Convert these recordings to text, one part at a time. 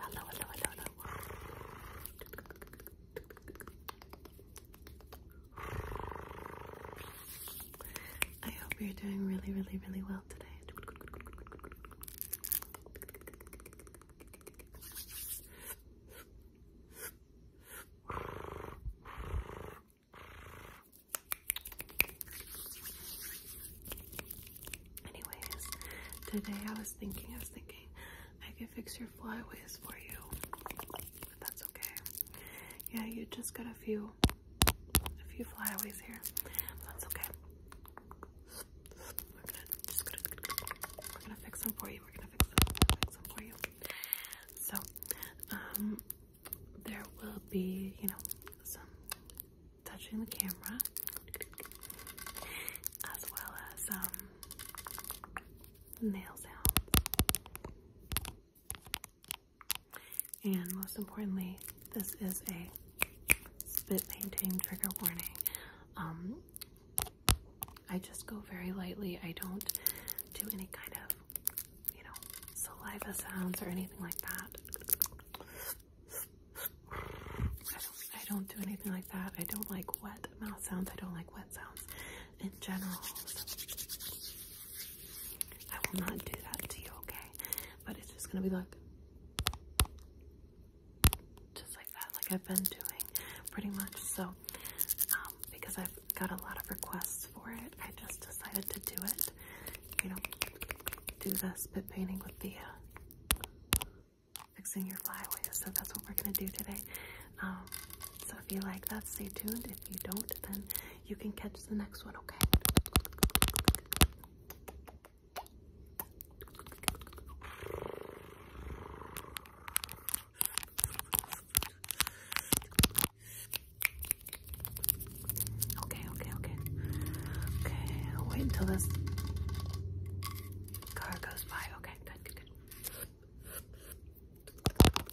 Hello, hello, hello, I hope you're doing really, really, really well today. Anyways, today I was thinking, I was thinking, I could fix your flyaways for you. If that's okay. Yeah, you just got a few, a few flyaways here. That's okay. We're gonna fix them for you. We're gonna fix them, fix them for you. So, um, there will be, you know, some touching the camera as well as um, nail And most importantly, this is a spit painting trigger warning. Um, I just go very lightly. I don't do any kind of, you know, saliva sounds or anything like that. I don't, do anything like that. I don't like wet mouth sounds. I don't like wet sounds in general. I will not do that to you, okay? But it's just gonna be like, just like that, like I've been doing pretty much. So, um, because I've got a lot of requests for it, I just decided to do it. You know, do the spit painting with the uh, fixing your flyaways. So that's what we're gonna do today. Um, so if you like that, stay tuned. If you don't, then you can catch the next one, okay? okay, okay, okay. Okay, wait until this car goes by. Okay, good, good, good.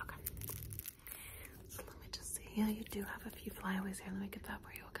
Okay. So let me just see. Yeah, you do have a few flyaways here. Let me get that for you, Okay.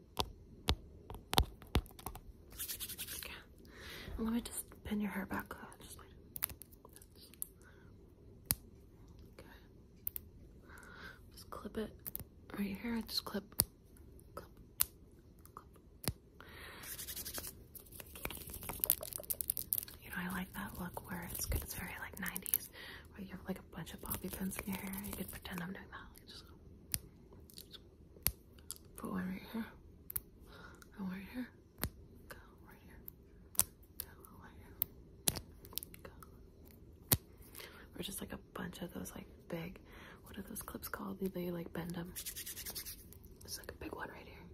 Okay. And let me just pin your hair back up. Just like this. Okay. Just clip it right here. Just clip. Clip. Clip. You know, I like that look where it's good. It's very like 90s. Where you have like a bunch of bobby pins in your hair. You could pretend I'm doing that. Just Put one right here. Go right here. Go right here. Go right here. Go. Or just like a bunch of those like big, what are those clips called? Do they like bend them. It's like a big one right here.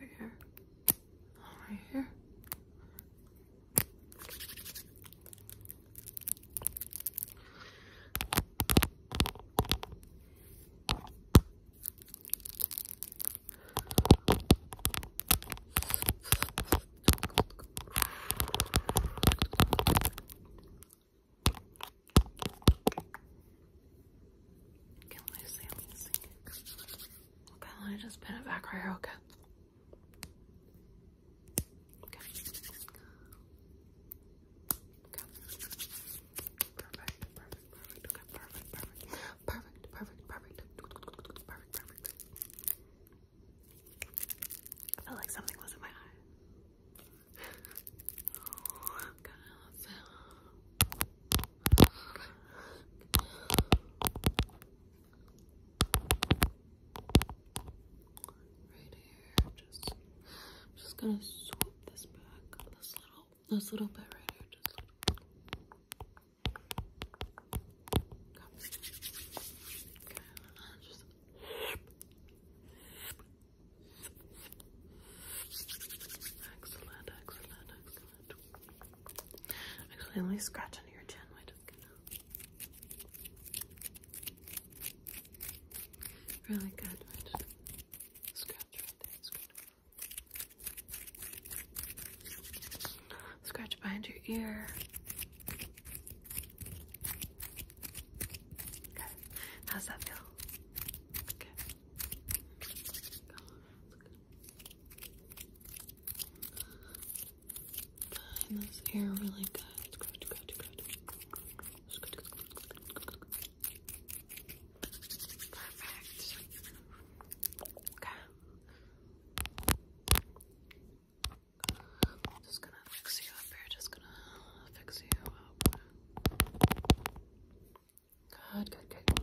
Right here right here. Okay, let me just pin it back right here. Okay. Perfect, perfect, perfect, perfect, perfect, perfect, perfect, perfect, perfect, perfect, perfect. I felt like something was in my eye. Right here. Just just gonna swoop this back. This little this little bit right here. Just Excellent, excellent, excellent. Actually, let me scratch under your chin really good scratch right there. Scratch. behind your ear. Okay, how's that feel? Okay in this air really good. Good, good, good. Just good, good, good, good, good, good, good. Perfect. Okay. I'm just gonna fix you up here. Just gonna fix you up. Good, good, good.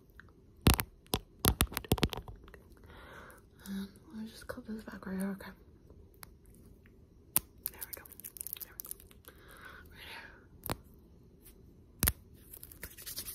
Um, let me just clip this back right here, okay? There we go. There we go. Right here. Okay,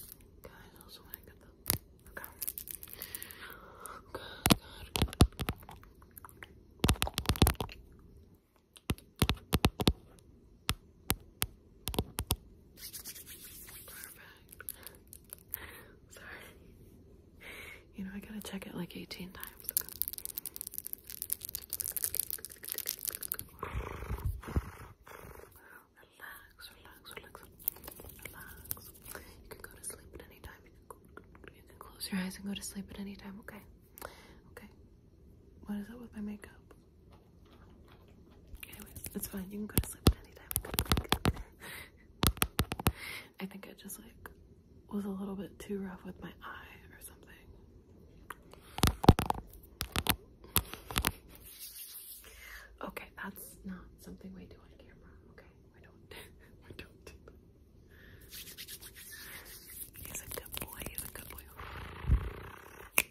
you know I gotta check it like 18 times. Relax, relax, relax, relax. You can go to sleep at any time. You can, close your eyes and go to sleep at any time. Okay. Okay. What is up with my makeup? Anyways, it's fine. You can go to sleep at any time. I think I just like was a little bit too rough with my eye or something. Okay, that's not something we do on camera. Okay, we don't. we don't He's a good boy. He's a good boy.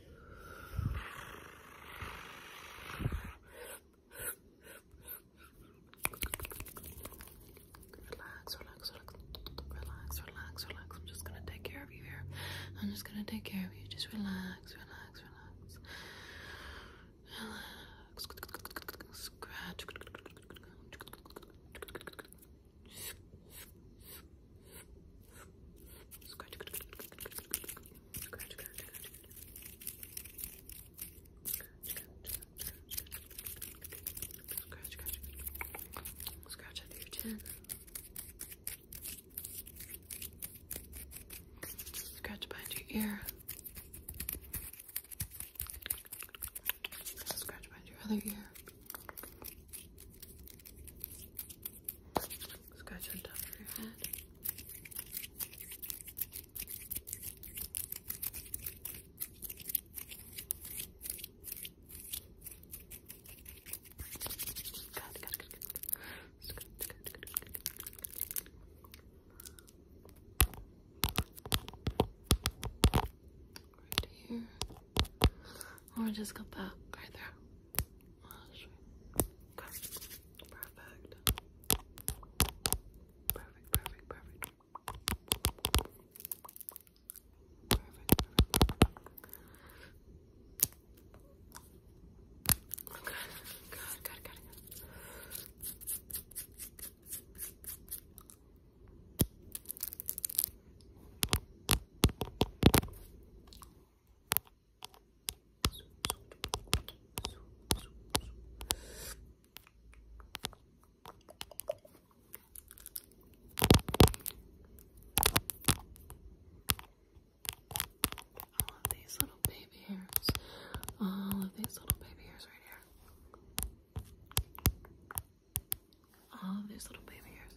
Relax, relax, relax, relax, relax. I'm just gonna take care of you here. I'm just gonna take care of you. Just relax, relax, relax. Relax. Scratch Scratch, under your chin. Scratch behind your ear. Scratch behind your other ear. Scratch on top of your head. Right here. Or just got back right there. Mushroom. Perfect. Perfect. Perfect, perfect, perfect. Perfect, perfect. Good, good, good, good. Good, all of these little baby hairs, all of these little baby hairs right here. All of these little baby hairs.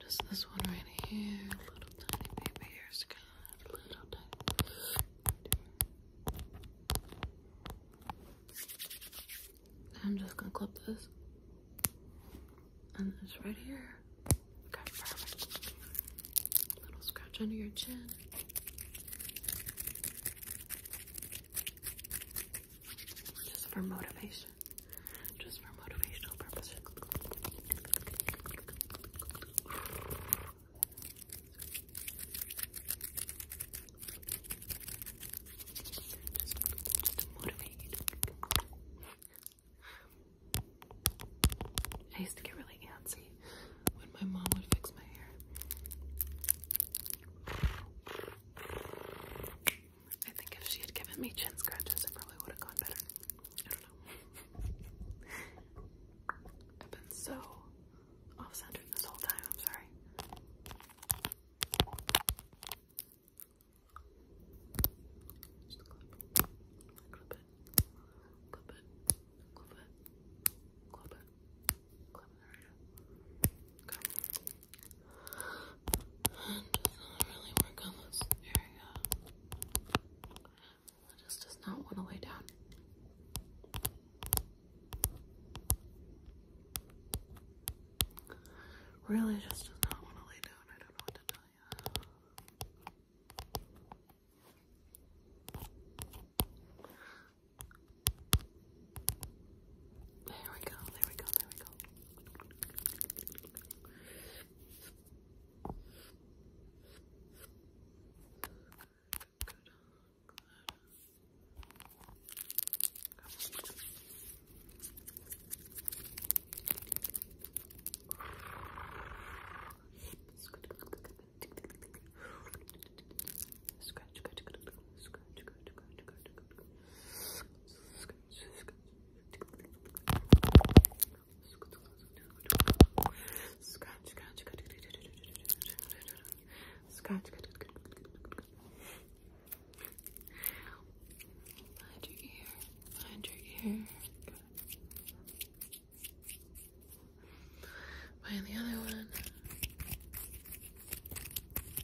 Just this one right here, little tiny baby ears, God, little tiny. I'm just gonna clip this, and this right here. Little scratch under your chin. Just for motivation. Just for motivational purposes. Just, to motivate I used to get really antsy when my mom would fix my hair. I think if she had given me chin scratches, it probably would have gone better. I don't know. I've been so off center this whole time, I'm sorry. Just clip. Clip it. Clip it. Clip it. Clip it. Clip Come. And does not really work on this area. It just does not want to lay down. Really just does not want to lay down. I don't know what to tell there we go, there we go, there we go. Good. Good. Scratch, scratch, scratch Scratch, good, good, good, good, good, good. Find your ear, find your ear. Good. Find the other one.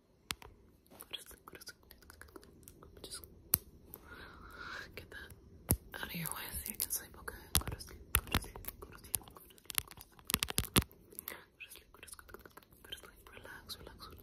Go to sleep, go to sleep. Just get that out of your way so you can sleep, okay? Go to sleep, go to sleep, go to sleep, go to sleep, go to sleep, relax. Relax. Relax.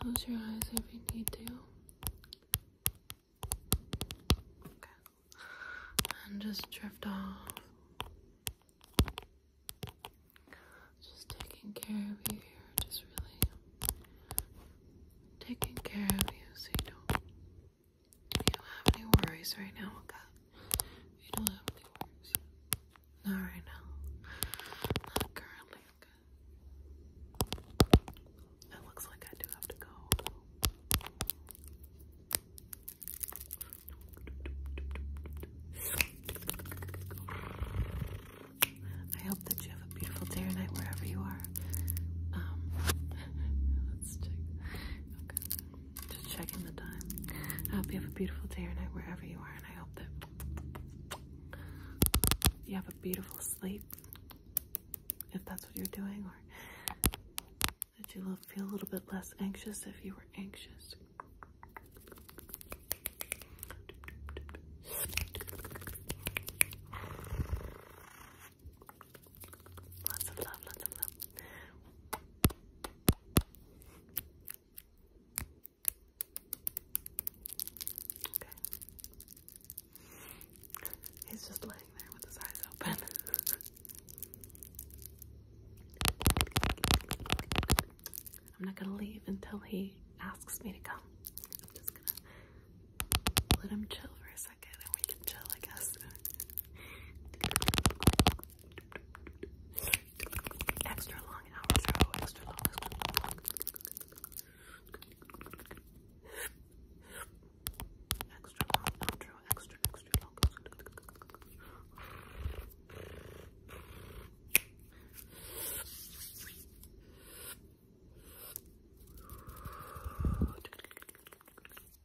Close your eyes if you need to. And just drift off. Just taking care of you here. Just really taking care of you so you don't you don't have any worries right now, okay? You don't have any worries. Not right now. Not currently. It looks like I do have to go. I hope that you have a beautiful day or night wherever you are. Um, let's check. Okay, just checking the time. I hope you have a beautiful day or night wherever you are, and I hope that you have a beautiful sleep if that's what you're doing, or that you will feel a little bit less anxious if you were anxious. Lots of love, lots of love. Okay. He's just laying there with his eyes open. I'm not gonna leave until he asks me to come. just gonna let him chill for a second and we can chill, I guess. extra long outro, extra long, extra long. Extra long outro, extra, extra long.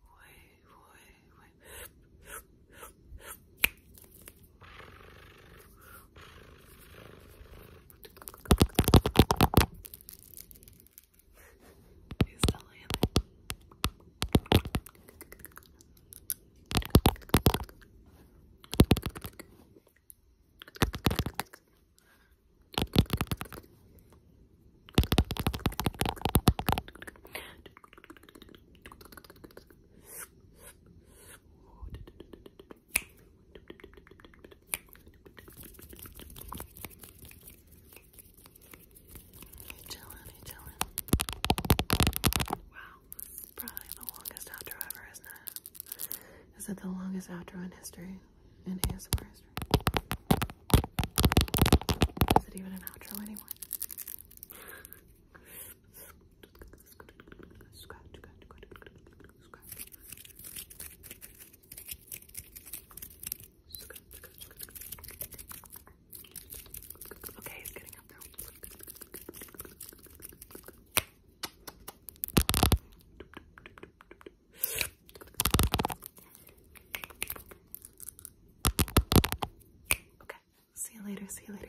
Wait, wait, wait. Who's the lamb? Hey, chillin', hey, chillin'. Wow, probably the longest outro ever, isn't it? Is it the longest outro in history? In ASMR history? Is it even an outro anymore? Okay, he's getting up there. Okay, see you later, see you later.